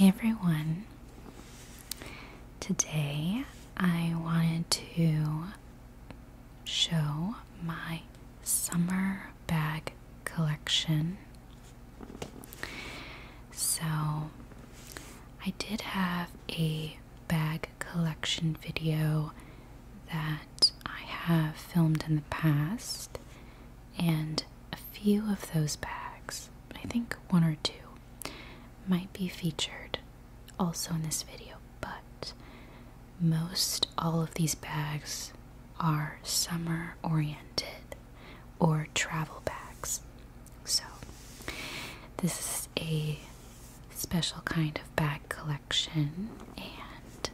everyone. Today I wanted to show my summer bag collection. So, I did have a bag collection video that I have filmed in the past, and a few of those bags, I think one or two, might be featured also in this video, but most all of these bags are summer oriented or travel bags. So, this is a special kind of bag collection, and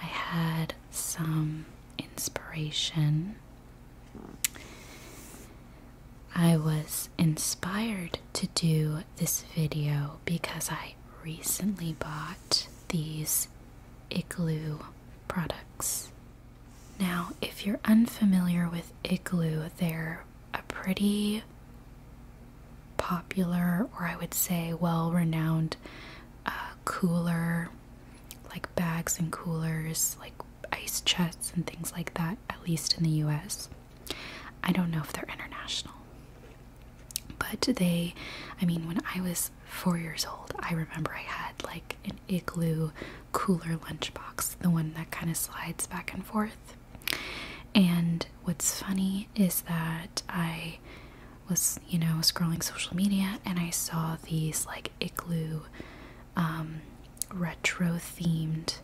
I had some inspiration. I was inspired to do this video because I recently bought these igloo products. Now, if you're unfamiliar with Igloo, they're a pretty popular, or I would say well renowned, uh, cooler, like bags and coolers, like ice chests and things like that, at least in the US. I don't know if they're international. But they, I mean, when I was four years old, I remember I had like an igloo cooler lunchbox, the one that kind of slides back and forth. And what's funny is that I was, you know, scrolling social media and I saw these like igloo um, retro themed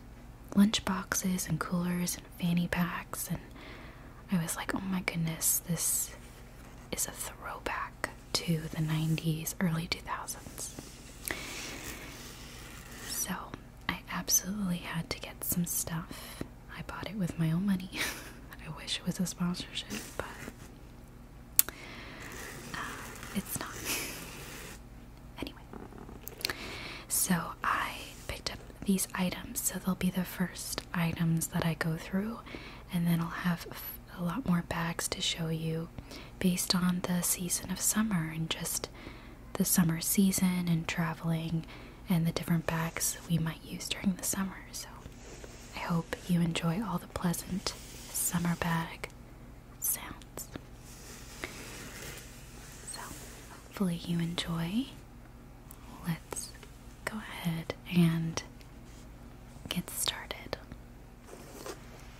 lunchboxes and coolers and fanny packs. And I was like, oh my goodness, this is a throwback to the 90s, early 2000s. So I absolutely had to get some stuff. I bought it with my own money. I wish it was a sponsorship, but uh, it's not. Anyway, so I picked up these items. So they'll be the first items that I go through, and then I'll have a lot more bags to show you based on the season of summer and just the summer season and traveling and the different bags we might use during the summer. So I hope you enjoy all the pleasant summer bag sounds. So hopefully you enjoy. Let's go ahead and get started.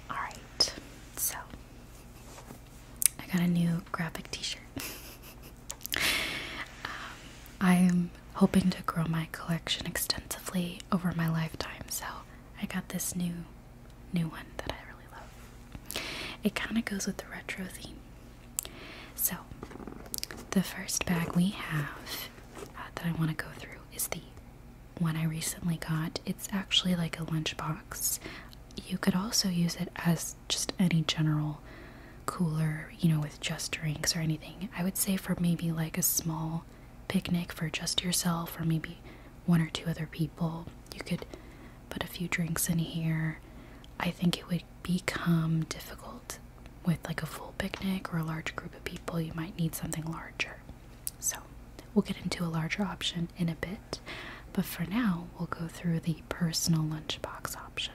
Alright, so I got a new graphic t shirt. I am um, hoping to grow my collection extensively over my lifetime, so I got this new new one that I really love. It kind of goes with the retro theme. So, the first bag we have uh, that I want to go through is the one I recently got. It's actually like a lunchbox. You could also use it as just any general cooler, you know, with just drinks or anything. I would say for maybe like a small picnic for just yourself or maybe one or two other people. You could put a few drinks in here. I think it would become difficult with like a full picnic or a large group of people. You might need something larger. So we'll get into a larger option in a bit, but for now we'll go through the personal lunchbox option.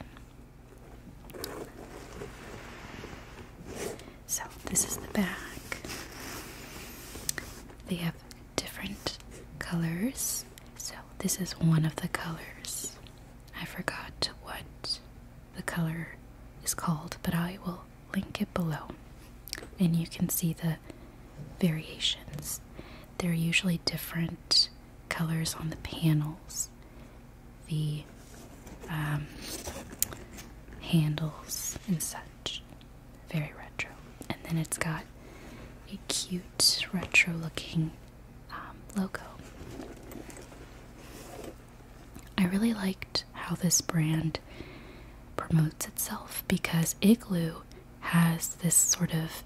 So this is the bag. They have different colors. So this is one of the colors. I forgot what the color is called, but I will link it below, and you can see the variations. There are usually different colors on the panels, the um, handles, and such. Very retro. And then it's got a cute retro looking um, logo. I really liked how this brand promotes itself because Igloo has this sort of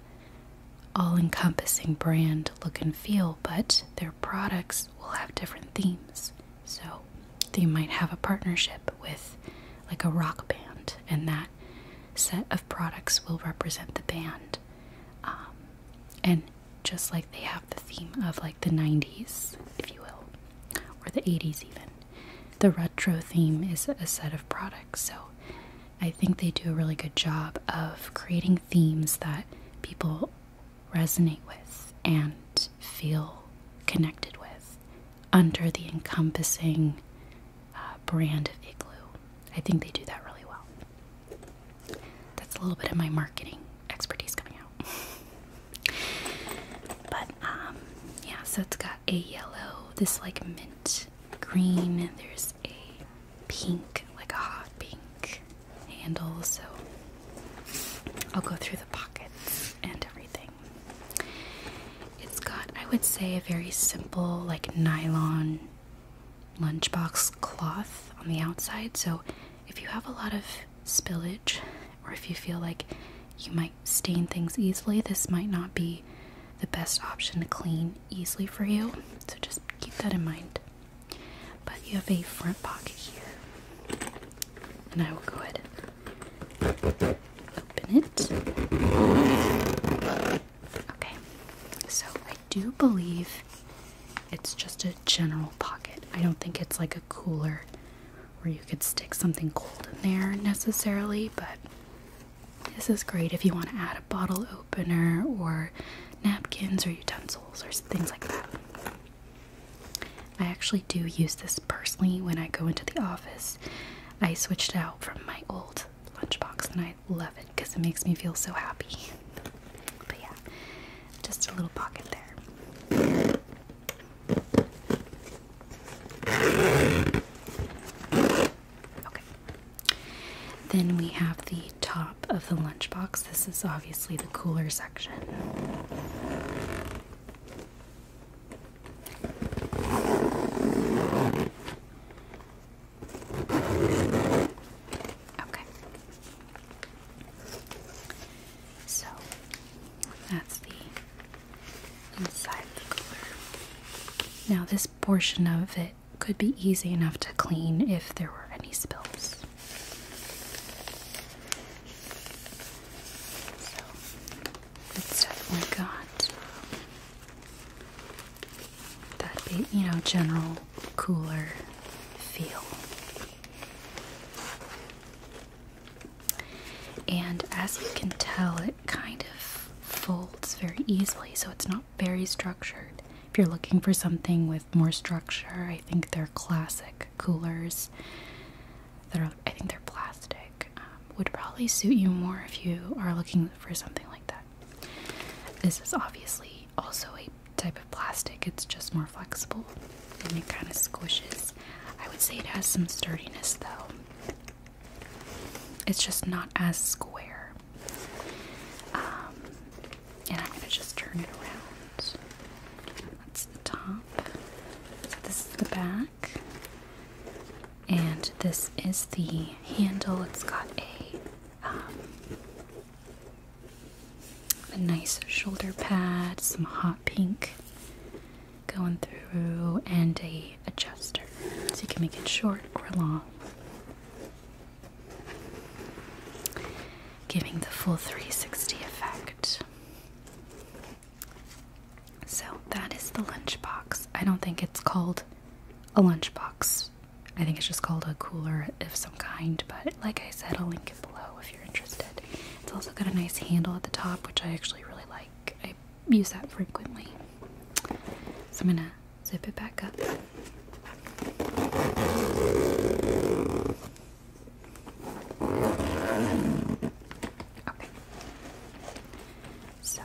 all encompassing brand look and feel, but their products will have different themes. So they might have a partnership with like a rock band, and that set of products will represent the band. Um, and just like they have the theme of like the 90s, if you will, or the 80s even. The retro theme is a set of products, so I think they do a really good job of creating themes that people resonate with and feel connected with under the encompassing uh, brand of Igloo. I think they do that really well. That's a little bit of my marketing expertise coming out but um, yeah so it's got a yellow this like mint green there's a pink like a hot pink handle so i'll go through the pockets and everything it's got i would say a very simple like nylon lunchbox cloth on the outside so if you have a lot of spillage or if you feel like you might stain things easily, this might not be the best option to clean easily for you. So just keep that in mind. But you have a front pocket here. And I will go ahead open it. Okay, so I do believe it's just a general pocket. I don't think it's like a cooler where you could stick something cold in there necessarily, but this is great if you want to add a bottle opener or napkins or utensils or things like that. I actually do use this personally when I go into the office. I switched out from my old lunchbox and I love it because it makes me feel so happy. But yeah, just a little pocket there. Okay. Then we have the top of the lunchbox. This is obviously the cooler section. Okay. So that's the inside the Now, this portion of it could be easy enough to clean if there were any spills. So it's definitely got that you know, general cooler feel. And as you can tell, it kind of folds very easily, so it's not very structured. If you're looking for something with more structure, I think they're classic coolers that are, I think they're plastic, um, would probably suit you more if you are looking for something like that. This is obviously also a type of plastic, it's just more flexible and it kind of squishes I would say it has some sturdiness though. It's just not as square. Um, and I'm gonna just turn it around. That's the top. this is the back. And this is the handle. It's got a, um, a nice shoulder pad, some hot pink going through and a adjuster so you can make it short or long giving the full 360 effect so that is the lunchbox i don't think it's called a lunchbox i think it's just called a cooler of some kind but like i said i'll link it below if you're interested it's also got a nice handle at the top, which I actually really like. I use that frequently. So I'm gonna zip it back up. Okay. So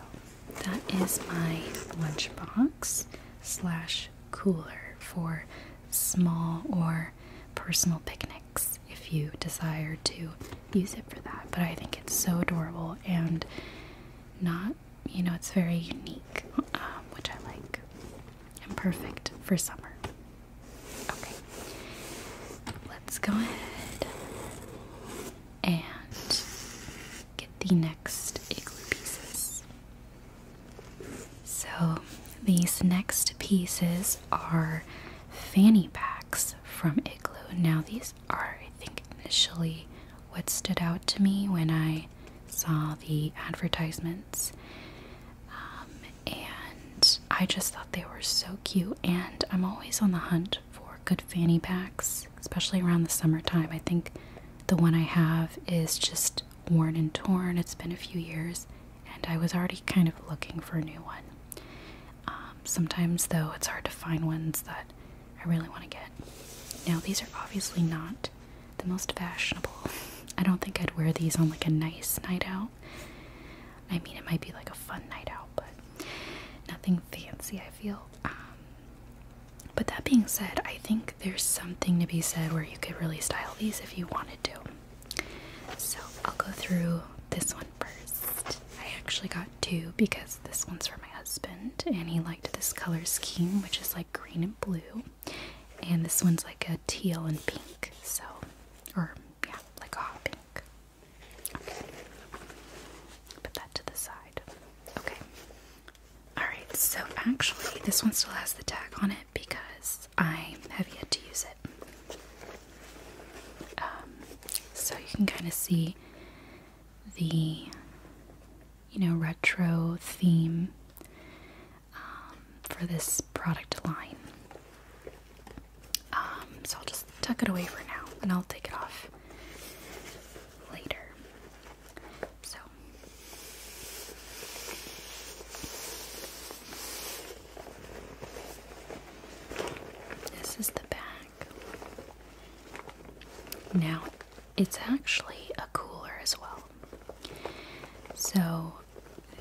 that is my lunchbox slash cooler for small or personal picnics if you desire to use it for that. But I think it's so adorable and not, you know, it's very unique, um, which I like, and perfect for summer. Okay, let's go ahead and get the next igloo pieces. So, these next pieces are fanny packs from Igloo. Now, these are, I think, initially what stood out to me when I saw the advertisements. Um, and I just thought they were so cute. And I'm always on the hunt for good fanny packs, especially around the summertime. I think the one I have is just worn and torn. It's been a few years, and I was already kind of looking for a new one. Um, sometimes, though, it's hard to find ones that I really want to get. Now, these are obviously not the most fashionable. I don't think I'd wear these on like a nice night out. I mean, it might be like a fun night out, but nothing fancy, I feel. Um, but that being said, I think there's something to be said where you could really style these if you wanted to. So I'll go through this one one first. I actually got two because this one's for my husband and he liked this color scheme, which is like green and blue. And this one's like a teal and pink, so, or yeah, like a hot pink. Okay. Put that to the side. Okay. Alright, so actually, this one still has the tag on it because I have yet to use it. Um, so you can kind of see the, you know, retro theme um, for this product line. Um, so I'll just tuck it away for now, and I'll take it off later. So. This is the back. Now, it's actually a cooler as well. So,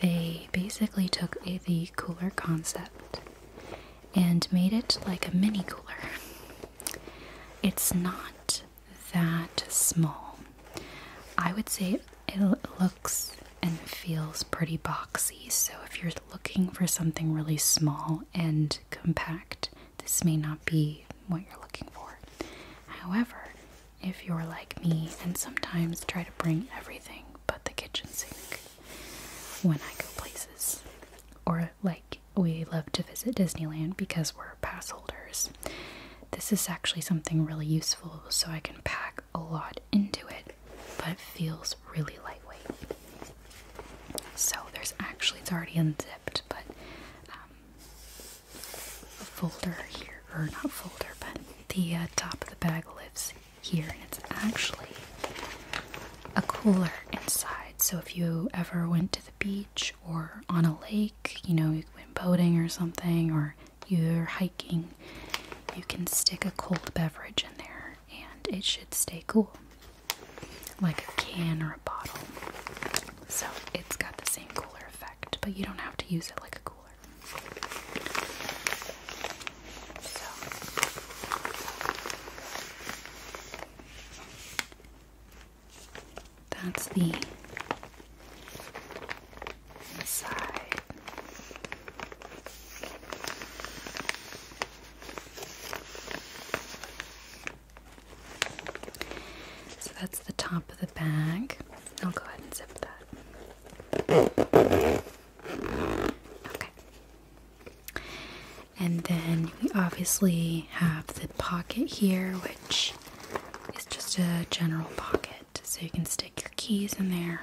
they basically took the cooler concept and made it like a mini cooler. It's not that small. I would say it looks and feels pretty boxy. So, if you're looking for something really small and compact, this may not be what you're looking for. However, if you're like me and sometimes try to bring everything but the kitchen sink when I go places, or like we love to visit Disneyland because we're pass holders, this is actually something really useful so I can pack a lot into it, but it feels really lightweight. So there's actually, it's already unzipped, but um, a folder here, or not folder, but the uh, top of the bag lives here, and it's actually a cooler inside. So if you ever went to the beach or on a lake, you know, you went boating or something, or you're hiking, you can stick a cold beverage in there and it should stay cool like a can or a bottle. So it's got the same cooler effect, but you don't have to use it like a cooler. So that's the inside. So that's the top of the bag. I'll go ahead and zip that. Okay. And then we obviously have the pocket here, which is just a general pocket. So you can stick your keys in there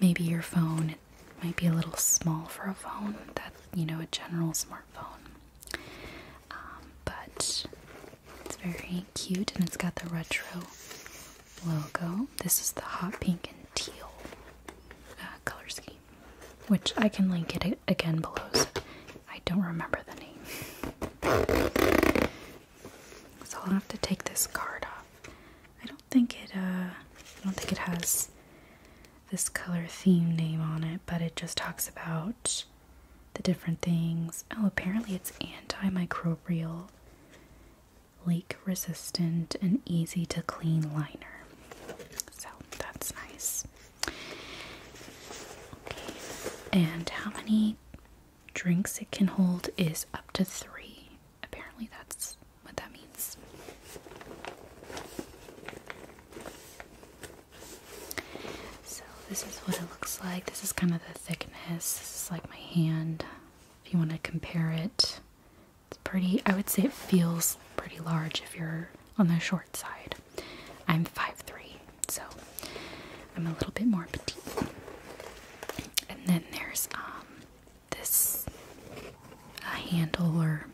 maybe your phone might be a little small for a phone that you know a general smartphone um, but it's very cute and it's got the retro logo this is the hot pink and teal uh, color scheme which i can link it again below so i don't remember the name so i'll have to take this card off i don't think it uh i don't think it has this color theme name on it, but it just talks about the different things. Oh, apparently it's antimicrobial, leak resistant, and easy to clean liner. So that's nice. And how many drinks it can hold is up to three. Apparently, that's what that means. So, this is what it looks like. This is kind of the thickness. This is like my hand. If you want to compare it, it's pretty, I would say it feels pretty large if you're on the short side. I'm 5'3, so I'm a little bit more petite. And then there's um, this handle or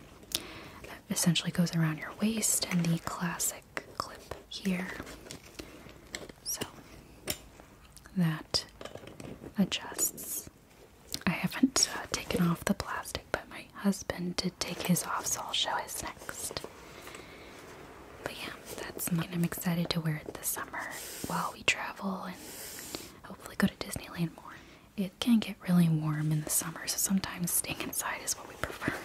essentially goes around your waist and the classic clip here. So that adjusts. I haven't uh, taken off the plastic, but my husband did take his off, so I'll show his next. But yeah, that's mine. I'm excited to wear it this summer while we travel and hopefully go to Disneyland more. It can get really warm in the summer, so sometimes staying inside is what we prefer.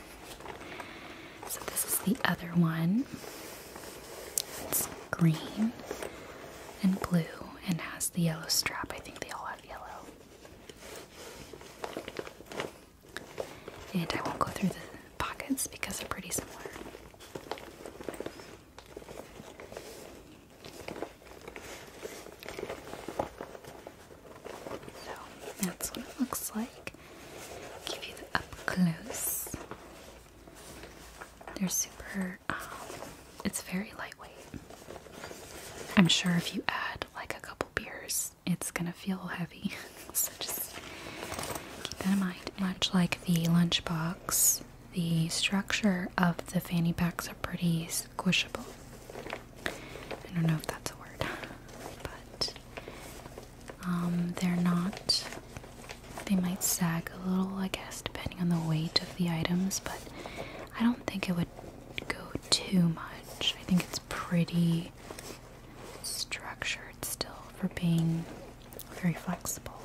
So, this is the other one. It's green and blue and has the yellow strap. I think they all have yellow. And I won't go through the pockets because they're pretty similar. So that's what it looks like. Give you the up close. They're super, um, it's very lightweight. I'm sure if you add like a couple beers, it's gonna feel heavy. so just keep that in mind. Much like the lunchbox, the structure of the fanny packs are pretty squishable. I don't know if that's a word, but um, they're not. They might sag a little, I guess, depending on the weight of the items, but I don't think it would go too much. I think it's pretty structured still for being very flexible.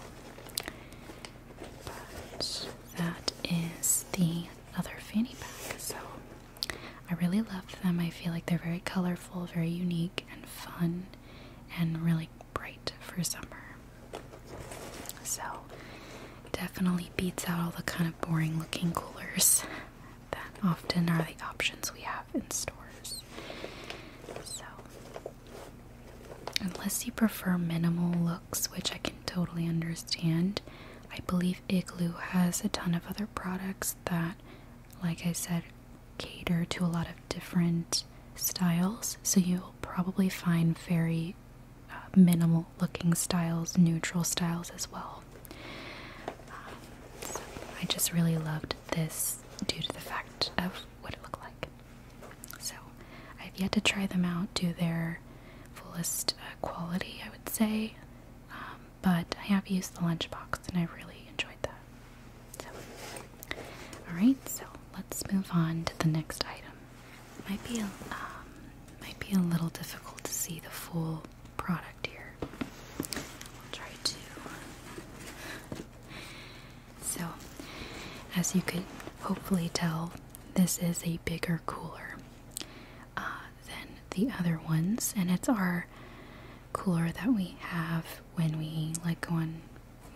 But that is the other fanny pack. So I really love them. I feel like they're very colorful, very unique, and fun, and really bright for summer. So definitely beats out all the kind of boring looking coolers that often are the options we have in stores. So, unless you prefer minimal looks, which I can totally understand, I believe. Igloo has a ton of other products that, like I said, cater to a lot of different styles. So you'll probably find very uh, minimal looking styles, neutral styles as well. Um, I just really loved this due to the fact of what it looked like. So I've yet to try them out, do their fullest uh, quality, I would say. Um, but I have used the lunchbox and I really enjoyed that. alright, so let's move on to the next item. might be a, um, might be a little difficult to see the full product here. I'll try to. So, as you could hopefully tell, this is a bigger cooler. Uh, than the other ones, and it's our cooler that we have when we like go on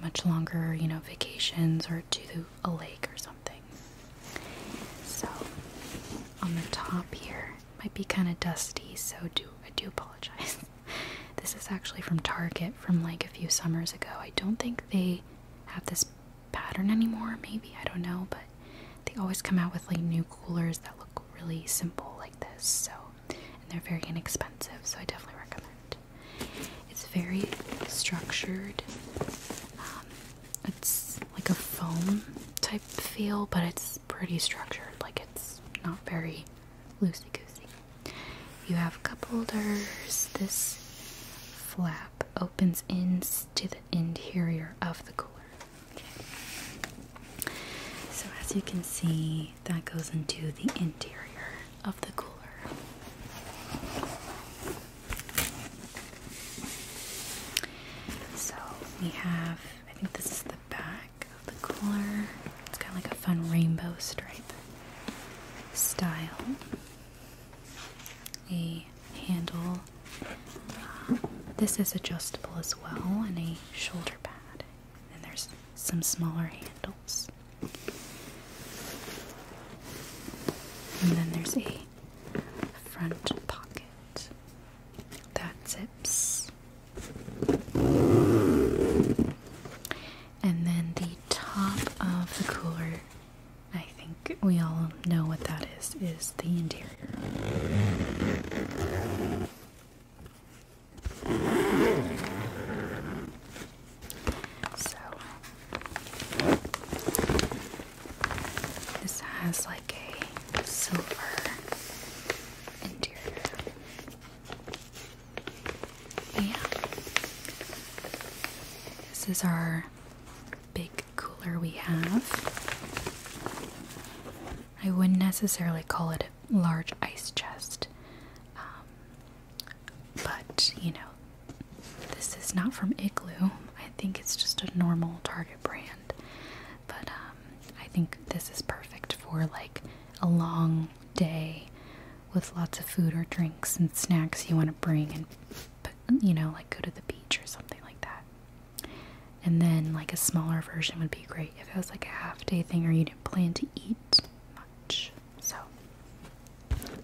much longer, you know, vacations or to a lake or something. So on the top here might be kind of dusty, so do I do apologize. this is actually from Target from like a few summers ago. I don't think they have this pattern anymore, maybe. I don't know, but they always come out with like new coolers that look really simple like this. So, and they're very inexpensive, so I definitely recommend. It's very structured. Um, it's like a foam type feel, but it's pretty structured. Like it's not very loosey goosey. You have cup holders, this flap opens into the interior of the cooler. So, as you can see, that goes into the interior of the cooler. So, we have, I think this is the back of the cooler. It's kind of like a fun rainbow stripe style a handle. Uh, this is adjustable as well, and a shoulder pad. And there's some smaller handles. And then there's a front pocket that zips. And then the top of the cooler, I think we all know what that is, is the interior. So this has like a silver interior. Yeah. This is our big cooler we have. I wouldn't necessarily call it a large ice chest, um, but you know, this is not from Igloo. I think it's just a normal Target brand, but um, I think this is perfect for like a long day with lots of food or drinks and snacks you want to bring and you know, like go to the beach or something like that. And then, like, a smaller version would be great if it was like a half day thing or you didn't plan to eat much. So,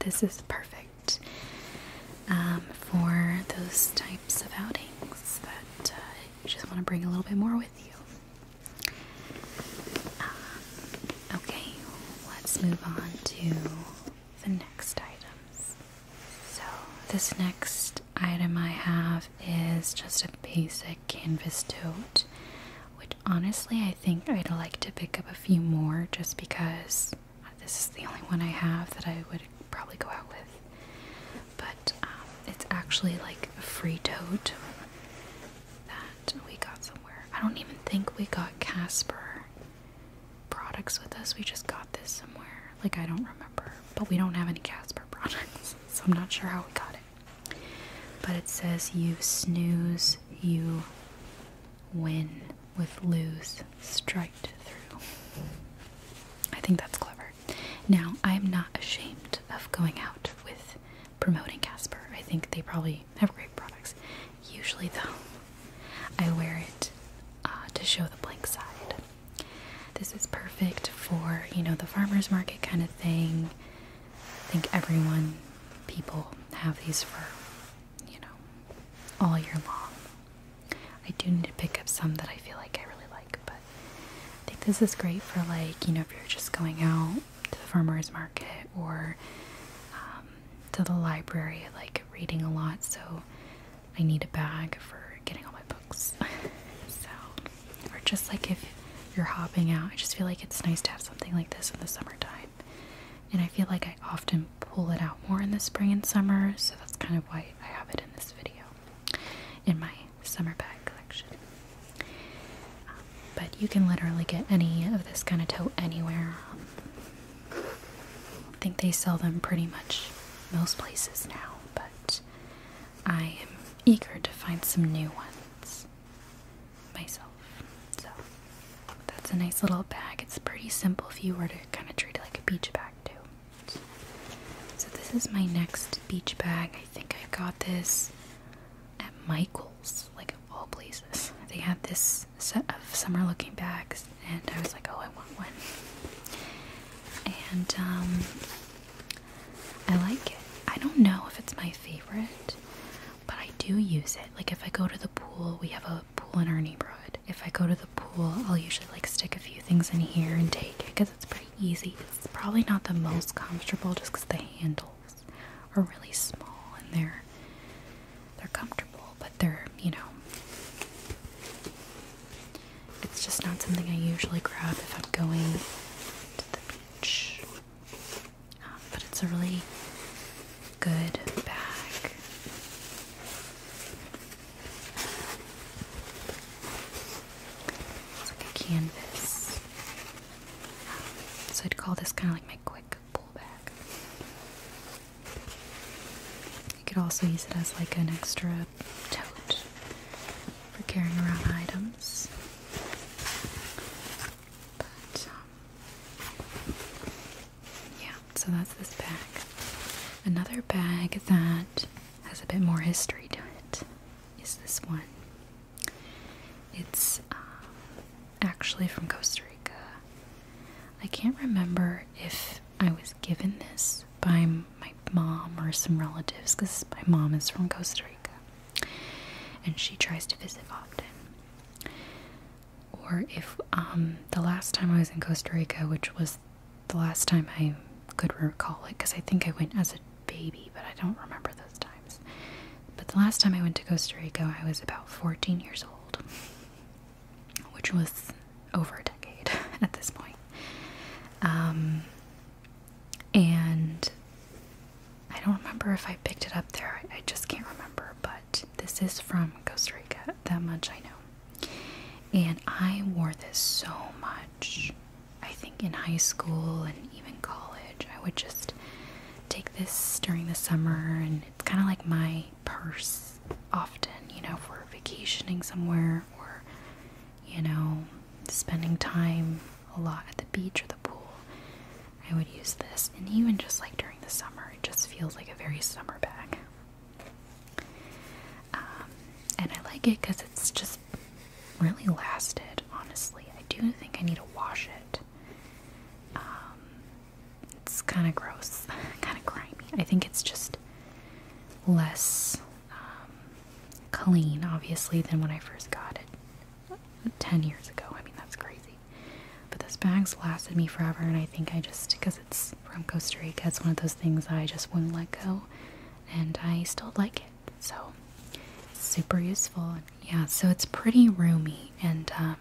this is perfect um, for those types of outings that uh, you just want to bring a little bit more with you. Um, okay, let's move on to the next items. So, this next item I have is just a basic canvas tote, which honestly I think I'd like to pick up a few more just because this is the only one I have that I would probably go out with. But um, it's actually like a free tote that we got somewhere. I don't even think we got Casper products with us, we just got this somewhere. Like, I don't remember. But we don't have any Casper products, so I'm not sure how we got it. But it says, You snooze, you win with loose striped through. I think that's clever. Now, I'm not ashamed of going out with promoting Casper. I think they probably have great products. Usually, though, I wear it uh, to show the blank side. This is perfect for, you know, the farmer's market kind of thing. I think everyone, people have these for, you know, all year long. I do need to pick up some that I feel like I really like, but I think this is great for, like, you know, if you're just going out to the farmer's market or um, to the library, like reading a lot. So I need a bag for getting all my books. so, or just like if you're hopping out, I just feel like it's nice to have something like this in the summertime. And I feel like I often pull it out more in the spring and summer, so that's kind of why I have it in this video in my summer bag collection. but you can literally get any of this kind of tote anywhere. I think they sell them pretty much most places now, but I am eager to find some new ones myself. So that's a nice little bag. It's pretty simple if you were to kind of treat it like a beach bag too. So this is my next beach bag. I think I got this at Michael's, like all places. They had this set of summer looking bags and I was like, oh I want one and um, I like it. I don't know if it's my favorite, but I do use it. Like if I go to the pool, we have a pool in our neighborhood. If I go to the pool, I'll usually like stick a few things in here and take it because it's pretty easy. It's probably not the most comfortable just because the handles are really small and they're they're comfortable, but they're you know it's just not something I usually grab if I'm going to the beach. Um, but it's a really good bag. It's like a canvas. Um, so I'd call this kind of like my quick pull bag. You could also use it as like an extra a tote for carrying around items. But, um, yeah, so that's this bag. Another bag that has a bit more history to it is this one. It's um, actually from Costa Rica. I can't remember if I was given this by my mom or some relatives because my mom is from Costa Rica and she tries to visit often. Or if um, the last time I was in Costa Rica, which was the last time I could recall it because I think I went as a baby, but I don't remember those times. But the last time I went to Costa Rica, I was about 14 years old, which was over a decade at this um, and I don't remember if I picked it up there, I, I just can't remember, but this is from Costa Rica, that much I know. And I wore this so much. I think in high school and even college, I would just take this during the summer, and it's kind of like my purse often, you know, for vacationing somewhere or you know, spending time a lot at the beach or the pool, I would use this. And even just like during the summer, it just feels like a very summer bag. Um, and I like it because it's just really lasted, honestly. I do think I need to wash it. Um, it's kind of gross, kind of grimy. I think it's just less um, clean, obviously, than when I first got it 10 years ago. I mean, that's crazy. But this bag's lasted me forever, and I think I just, because it's from Costa Rica, it's one of those things I just wouldn't let go, and I still like it. So, super useful. Yeah, so it's pretty roomy, and um,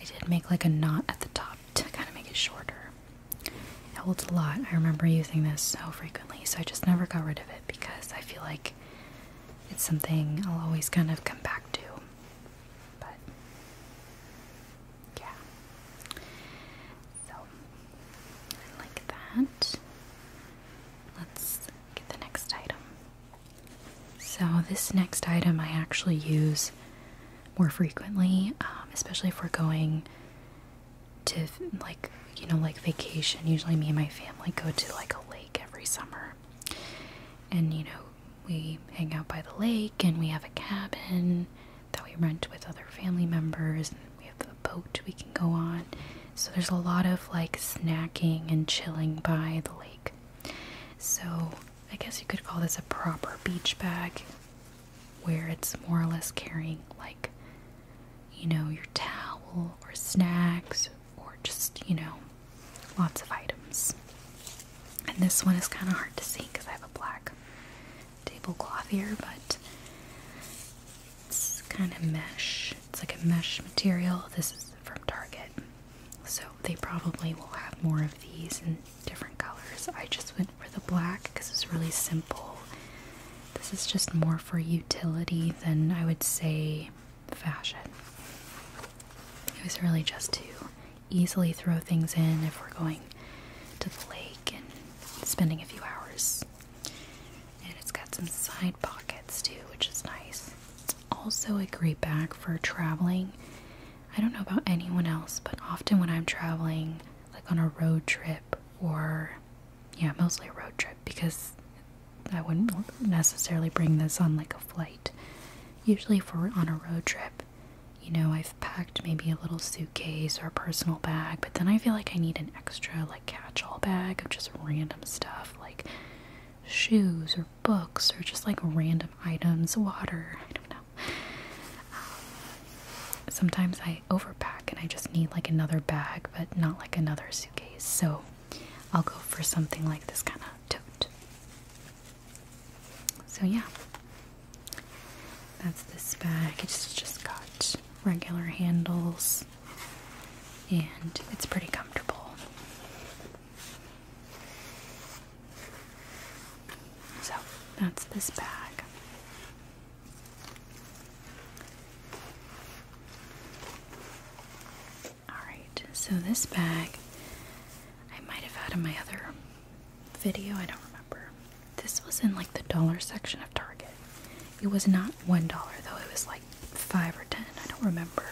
I did make like a knot at the top to kind of make it shorter. It holds a lot. I remember using this so frequently, so I just never got rid of it because I feel like it's something I'll always kind of come back to. But yeah. So I like that. Let's get the next item. So this next item I actually use more frequently, um, especially if we're going to like you know like vacation usually me and my family go to like a lake every summer and you know we hang out by the lake and we have a cabin that we rent with other family members and we have a boat we can go on so there's a lot of like snacking and chilling by the lake so i guess you could call this a proper beach bag where it's more or less carrying like you know, your towel or snacks or just, you know, lots of items. And this one is kind of hard to see because I have a black tablecloth here, but it's kind of mesh. It's like a mesh material. This is from Target. So they probably will have more of these in different colors. I just went for the black because it's really simple this is just more for utility than I would say fashion. It was really just to easily throw things in if we're going to the lake and spending a few hours. And it's got some side pockets too, which is nice. It's also a great bag for traveling. I don't know about anyone else, but often when I'm traveling, like on a road trip or yeah, mostly a road trip because I wouldn't necessarily bring this on like a flight. Usually, if we're on a road trip, you know, I've packed maybe a little suitcase or a personal bag, but then I feel like I need an extra like catch all bag of just random stuff like shoes or books or just like random items, water. I don't know. Um, sometimes I overpack and I just need like another bag, but not like another suitcase. So I'll go for something like this kind of tote. So yeah, that's this bag. It's just got regular handles and it's pretty comfortable. So that's this bag. Alright, so this bag I might have had in my other video, I don't remember. This was in like the dollar section of Target. It was not one dollar though, it was like five or ten, I don't remember.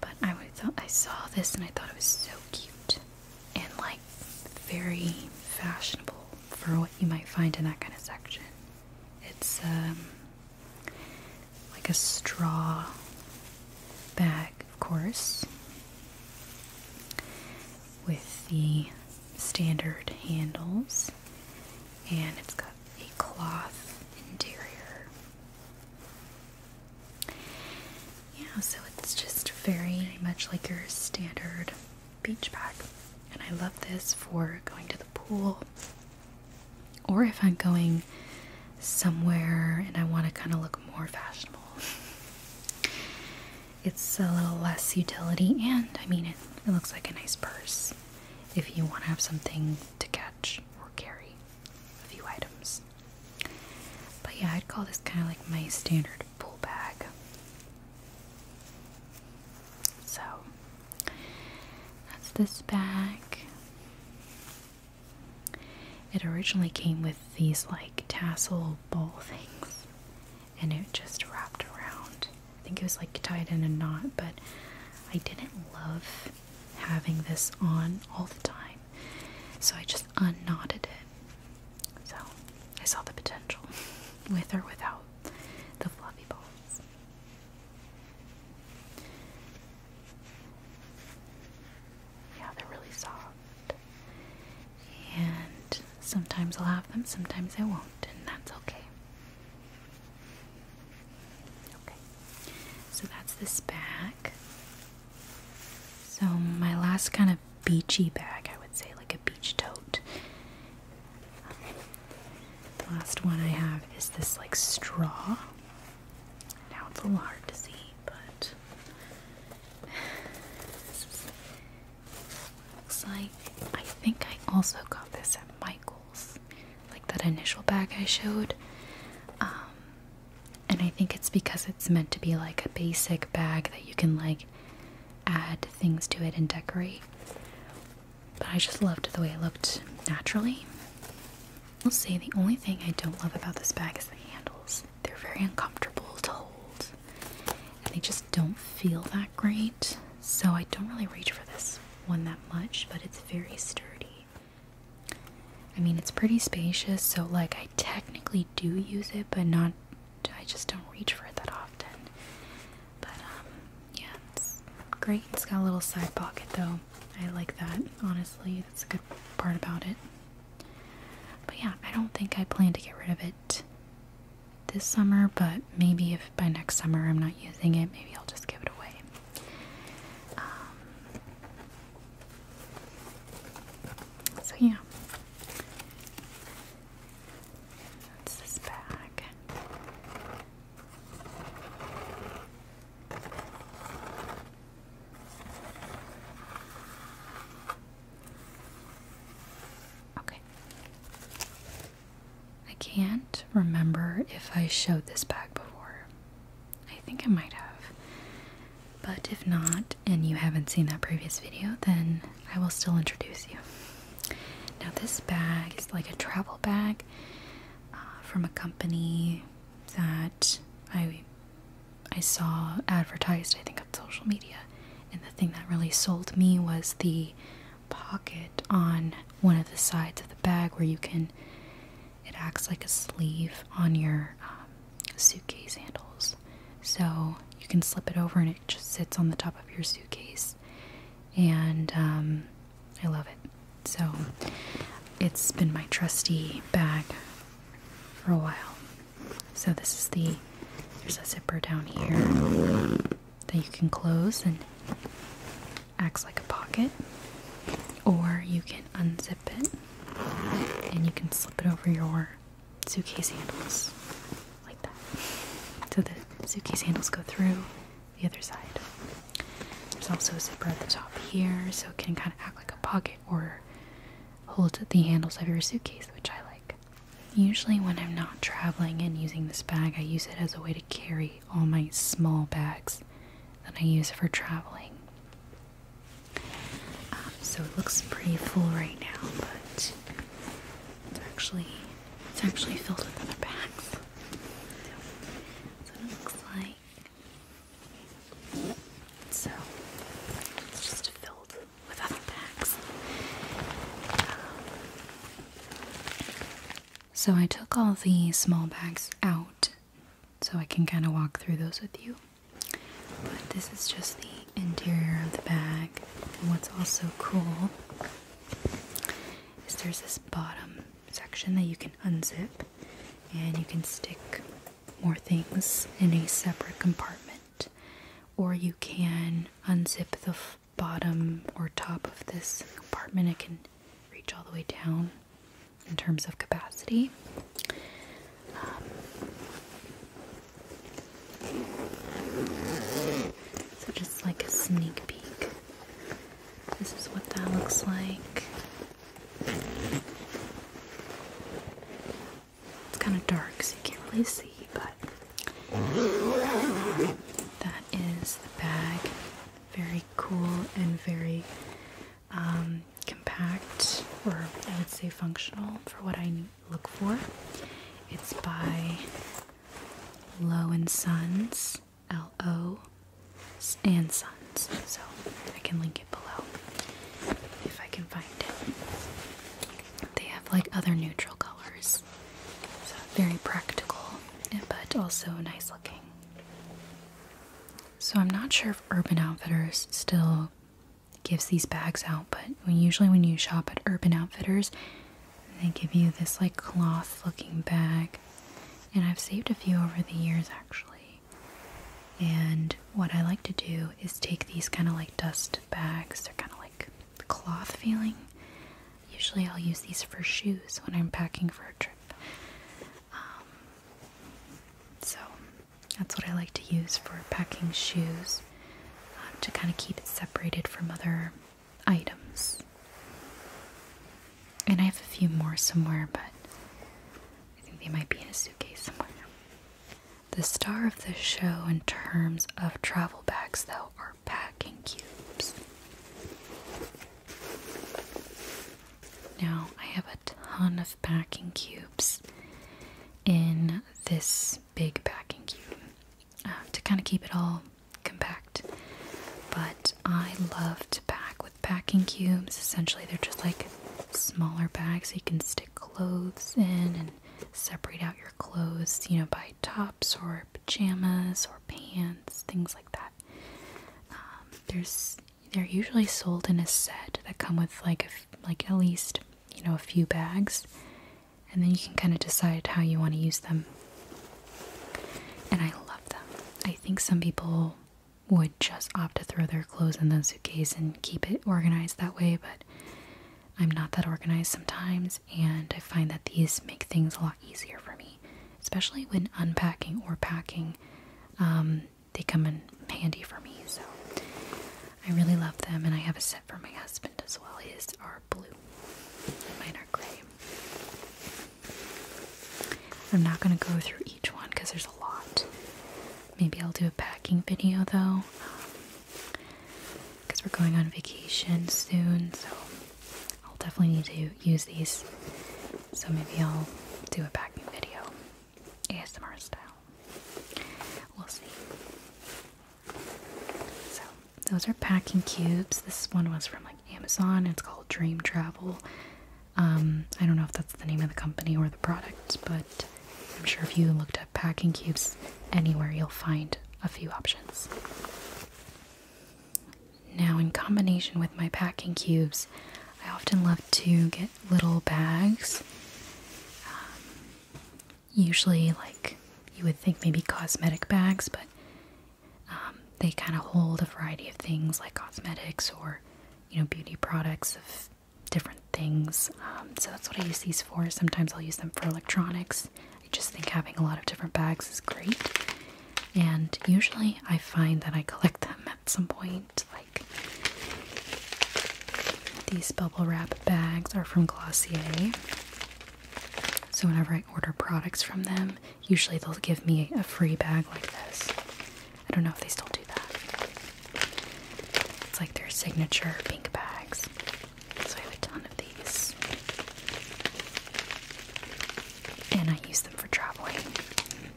But I thought I saw this and I thought it was so cute and like very fashionable for what you might find in that kind of section. It's um, like a straw bag, of course, with the standard handles, and it's got a cloth interior. Yeah, so it's just very much like your standard beach bag. And I love this for going to the pool or if I'm going somewhere and I want to kind of look more fashionable. It's a little less utility, and I mean, it, looks like a nice purse if you want to have something to catch or carry a few items. But yeah, I'd call this kind of like my standard pool bag. So, that's this bag. It originally came with these like tassel ball things, and it just wrapped around. I think it was like tied in a knot, but I didn't love having this on all the time, so I just unknotted it. So I saw the potential with or without the fluffy balls. Yeah, they're really soft. And sometimes I'll have them, sometimes I won't, and that's okay. Okay, so that's this bag. So, my last kind of beachy bag, I would say, like a beach tote, the last one I have is this like straw. Now it's a little hard to see, but looks like I think I also got this at Michael's, like that initial bag I showed. Um, and I think it's because it's meant to be like a basic bag that you can like add things to it and decorate. But I just loved the way it looked naturally. I'll see. the only thing I don't love about this bag is the handles. They're very uncomfortable to hold. And they just don't feel that great. So I don't really reach for this one that much, but it's very sturdy. I mean, it's pretty spacious, so like I technically do use it, but not I just don't reach for it that often. But um, yeah, it's great. It's got a little side pocket though. I like that, honestly. That's a good part about it. But yeah, I don't think I plan to get rid of it this summer, but maybe if by next summer I'm not using it, maybe I'll just give it away. Um, so yeah. That's this bag. Okay. I can't remember if I showed this bag before. I think I might have. But if not, and you haven't seen that previous video, then I will still introduce you. Now, this bag is like a travel bag, uh, from a company that I I saw advertised I think on social media and the thing that really sold me was the pocket on one of the sides of the bag where you can it acts like a sleeve on your um, suitcase handles so you can slip it over and it just sits on the top of your suitcase and um, I love it. So it's been my trusty bag for a while. So this is the there's a zipper down here that you can close and acts like a pocket, or you can unzip it and you can slip it over your suitcase handles like that. So the suitcase handles go through the other side. There's also a zipper at the top here, so it can kind of act like a pocket or hold the handles of your suitcase, which I like. Usually, when I'm not traveling and using this bag, I use it as a way to carry all my small bags that I use for traveling. Um, so it looks pretty full right now, but it's actually it's actually filled with other bags. So it looks like so it's just filled with other bags. So I took all the small bags out so I can kind of walk through those with you. But this is just the interior of the bag. And what's also cool is there's this bottom section that you can unzip and you can stick more things in a separate compartment or you can unzip the bottom or top of this compartment it can reach all the way down in terms of capacity um, so just like a sneak peek this is what that looks like. It's kind of dark, so you can't really see, but that is the bag. Very cool and very um, compact, or I would say functional for what I look for. It's by Low and Sons. L O and Sons. So I can link it below if I can find it. They have like other neutral colors. So very practical, but also nice looking. So I'm not sure if Urban Outfitters still gives these bags out, but usually when you shop at Urban Outfitters, they give you this like cloth looking bag and I've saved a few over the years actually. And what I like to do is take these kind of like dust bags, they're kind of like cloth feeling. Usually I'll use these for shoes when I'm packing for a trip. Um, so that's what I like to use for packing shoes uh, to kind of keep it separated from other items. And I have a few more somewhere, but I think they might be in a suitcase somewhere. The star of this show, in terms of travel bags, though, are packing cubes. Now, I have a ton of packing cubes in this big packing cube uh, to kind of keep it all compact. But I love to pack with packing cubes. Essentially, they're just like smaller bags so you can stick clothes in and separate out your clothes, you know, by tops or pajamas or pants, things like that. Um, there's they're usually sold in a set that come with like like at least you know a few bags, and then you can kind of decide how you want to use them. And I love them. I think some people would just opt to throw their clothes in the suitcase and keep it organized that way, but I'm not that organized sometimes, and I find that these make things a lot easier for me, especially when unpacking or packing. Um, they come in handy for me, so I really love them, and I have a set for my husband as well. His are blue, mine are gray. I'm not going to go through each one because there's a lot. Maybe I'll do a packing video though. Because um, we're going on vacation soon, so I'll definitely need to use these. So maybe I'll do a packing video, ASMR style. We'll see. So, those are packing cubes. This one was from like. Amazon. It's called Dream Travel. Um, I don't know if that's the name of the company or the product, but I'm sure if you looked at packing cubes anywhere, you'll find a few options. Now, in combination with my packing cubes, I often love to get little bags. Um, usually, like you would think, maybe cosmetic bags, but um, they kind of hold a variety of things like cosmetics or, you know, beauty products of different things. Um, so that's what I use these for. Sometimes I'll use them for electronics. I just think having a lot of different bags is great. And usually I find that I collect them at some point. Like these bubble wrap bags are from Glossier. So whenever I order products from them, usually they'll give me a free bag like this. I don't know if they still do that. It's like their signature pink bags. So I have a ton of these. And I use them for traveling.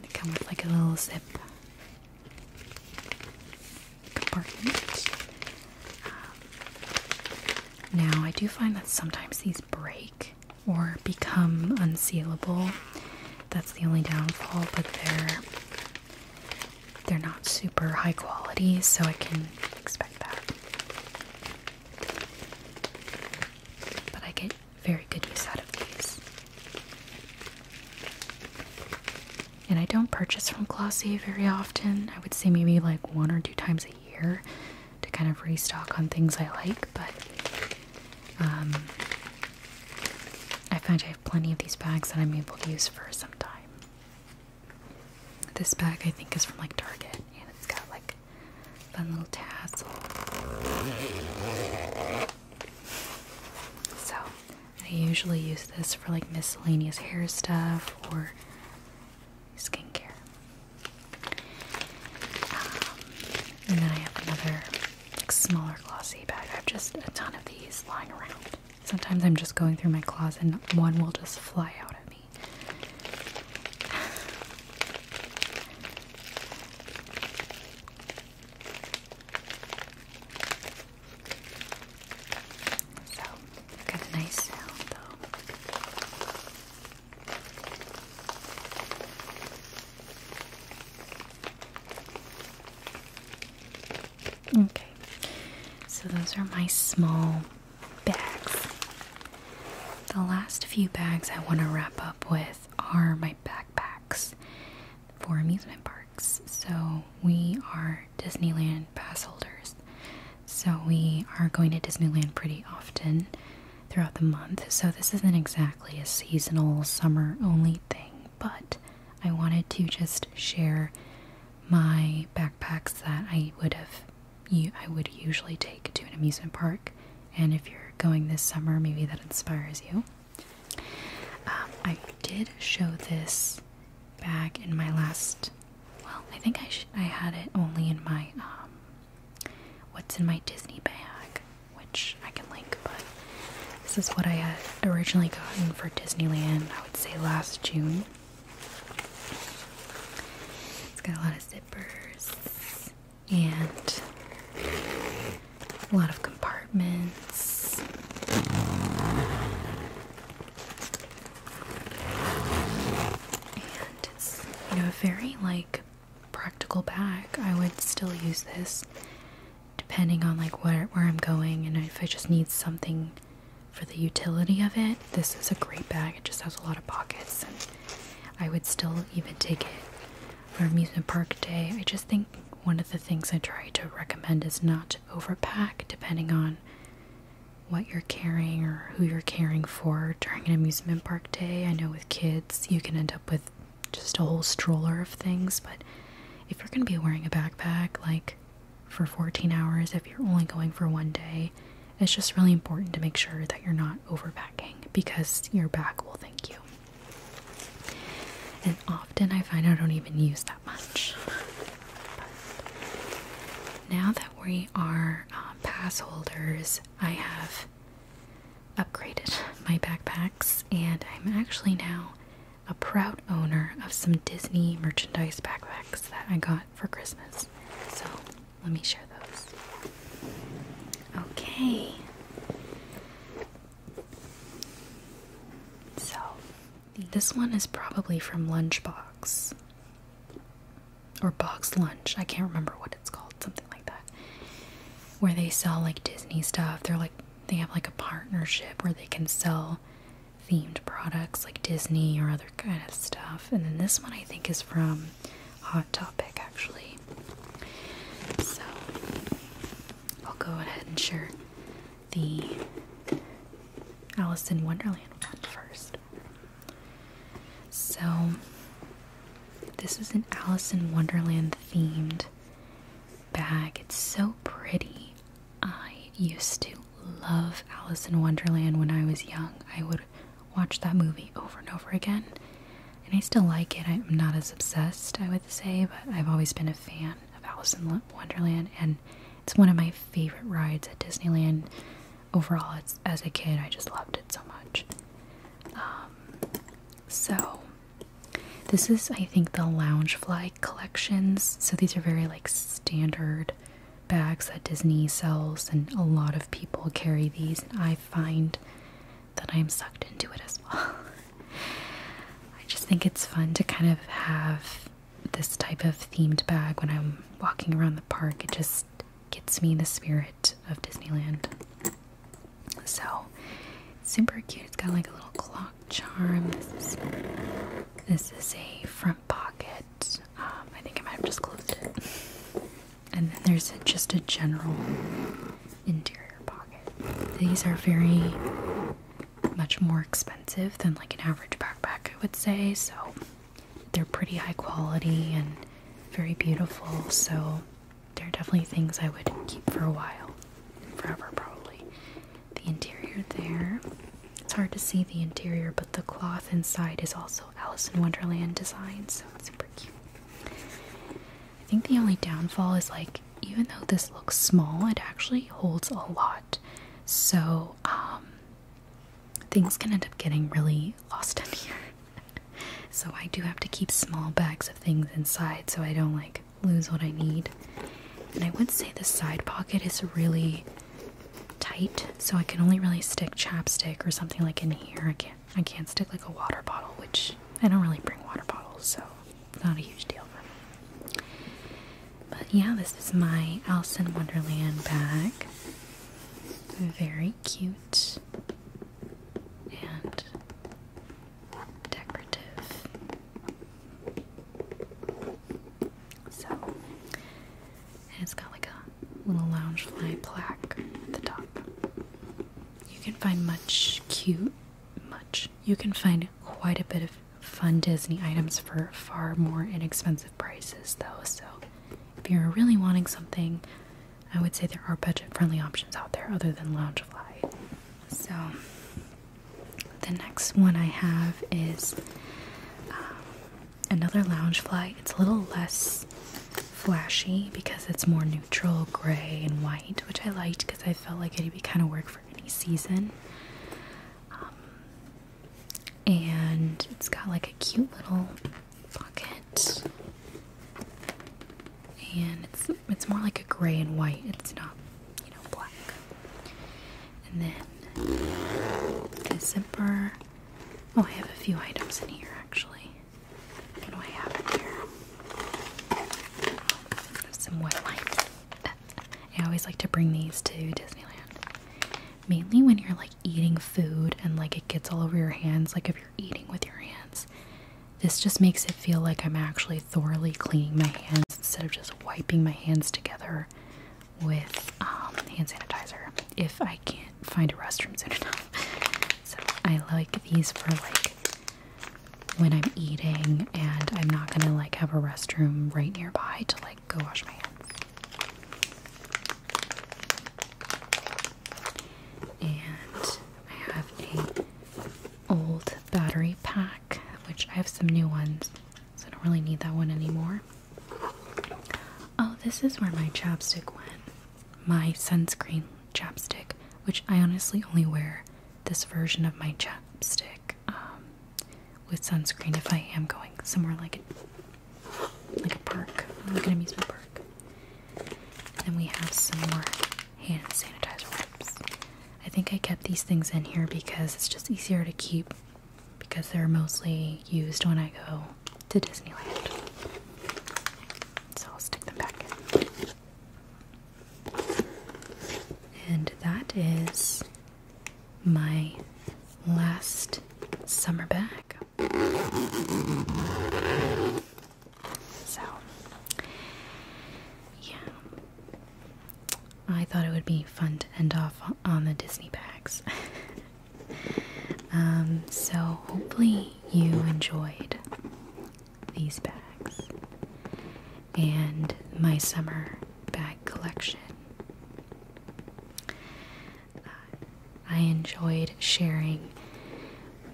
They come with like a little zip compartment. Um, now I do find that sometimes these break or become unsealable. That's the only downfall, but they're they're not super high quality, so I can expect that. But I get very good use out of these. And I don't purchase from Glossier very often. I would say maybe like one or two times a year to kind of restock on things I like, but um, I find I have plenty of these bags that I'm able to use for some time. This bag I think is from like Target and it's got like fun little tassel. So I usually use this for like miscellaneous hair stuff or skincare. Um, and then I have another smaller glossy bag. I have just a ton of these lying around. Sometimes I'm just going through my closet and one will just fly out at me. So, got a nice sound though. Okay, so those are my small bags. The last few bags I want to wrap up with are my backpacks for amusement parks. So we are Disneyland pass holders. So we are going to Disneyland pretty often throughout the month, so this isn't exactly a seasonal summer only thing, but I wanted to just share my backpacks that I would have I would usually take to an amusement park, and if you're going this summer, maybe that inspires you. Um, I did show this bag in my last. Well, I think I I had it only in my um, what's in my Disney bag, which I can link, but this is what I had originally gotten for Disneyland, I would say last June. It's got a lot of zippers and a lot of compartments. And it's, you know, very like practical bag. I would still use this depending on like where where I'm going and if I just need something for the utility of it. This is a great bag. It just has a lot of pockets and I would still even take it for amusement park day. I just think one of the things I try to recommend is not to overpack depending on what you're carrying or who you're caring for during an amusement park day. I know with kids, you can end up with just a whole stroller of things. But if you're going to be wearing a backpack, like for 14 hours, if you're only going for one day, it's just really important to make sure that you're not overpacking because your back will thank you. And often I find I don't even use that much. now that we are uh, pass holders, I have upgraded my backpacks, and I'm actually now a proud owner of some Disney merchandise backpacks that I got for Christmas. So let me share those. Okay. So this one is probably from Lunchbox or Box Lunch. I can't remember what it's called something like that where they sell like Disney stuff. They're like they have like a partnership where they can sell themed products like Disney or other kind of stuff. And then this one I think is from Hot Topic actually. So I'll go ahead and share the Alice in Wonderland one first. So this is an Alice in Wonderland themed bag. It's so pretty. I used to love Alice in Wonderland when I was young. I would watch that movie over and over again. And I still like it. I'm not as obsessed, I would say, but I've always been a fan of Alice in Wonderland. And it's one of my favorite rides at Disneyland. Overall, it's, as a kid, I just loved it so much. Um, so, this is, I think, the Loungefly collections. So these are very like standard bags that Disney sells, and a lot of people carry these. And I find that I'm sucked into it as well. I just think it's fun to kind of have this type of themed bag when I'm walking around the park. It just gets me in the spirit of Disneyland. So super cute. It's got like a little clock charm. This is a front pocket. Um, I think I might have just closed it. And then there's just a general interior pocket. These are very much more expensive than like an average backpack, I would say. So they're pretty high quality and very beautiful. So there are definitely things I would keep for a while. Forever, probably. The interior there. It's hard to see the interior, but the cloth inside is also Alice in Wonderland design, so it's super cute. I think the only downfall is like, even though this looks small, it actually holds a lot. So, um, things can end up getting really lost in here. so, I do have to keep small bags of things inside so I don't like lose what I need. And I would say the side pocket is really tight, so I can only really stick chapstick or something like in here. I can't I can't stick like a water bottle, which I don't really bring water bottles, so not a huge deal for me. But yeah, this is my Alice in Wonderland bag. Very cute. And decorative. So, it's got like a little loungefly plaque at the top. You can find much cute, much. You can find quite a bit of fun Disney items for far more inexpensive prices, though. So, if you're really wanting something, I would say there are budget friendly options out there other than Loungefly. So, the next one I have is uh, another lounge fly. It's a little less flashy because it's more neutral gray and white, which I liked because I felt like it would be kind of work for any season. Um, and it's got like a cute little pocket and it's it's more like a gray and white. It's not, you know, black. And then the zipper. Oh, I have a few items in here actually. What do I have here? some wet wipes. I always like to bring these to Disneyland. Mainly when you're like eating food and like it gets all over your hands, like if you're eating with your hands, this just makes it feel like I'm actually thoroughly cleaning my hands instead of just wiping my hands together with um, hand sanitizer if I can't find a restroom soon enough. So I like these for like when I'm eating and I'm not gonna like have a restroom right nearby to like go wash my hands. And I have a old battery pack, which I have some new ones, so I don't really need that one anymore. Oh, this is where my chapstick went. My sunscreen chapstick, which I honestly only wear this version of my chapstick um, with sunscreen if I am going somewhere like a, like a park. I'm going to amuse my park. And then we have some more hand sanitizer wipes. I think I kept these things in here because it's just easier to keep because they're mostly used when I go to Disneyland. So I'll stick them back in. And that is my last summer bag. So, yeah. I thought it would be fun to end off on the Disney bags. Um, so, hopefully, you enjoyed these bags and my summer bag collection. Uh, I enjoyed sharing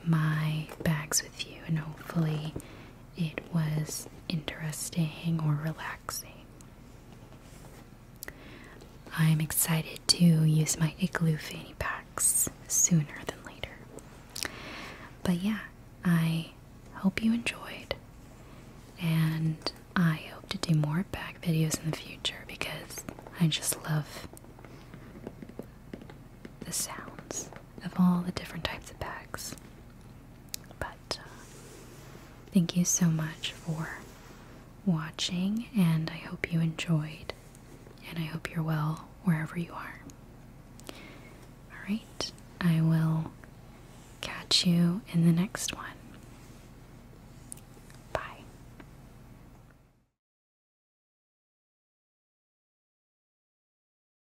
my bags with you, and hopefully, it was interesting or relaxing. I'm excited to use my igloo fanny packs sooner than later. But yeah, I hope you enjoyed, and I hope to do more bag videos in the future because I just love the sounds of all the different types of bags. But uh, thank you so much for watching, and I hope you enjoyed, and I hope you're well wherever you are. Alright, I will catch you in the next one. Bye.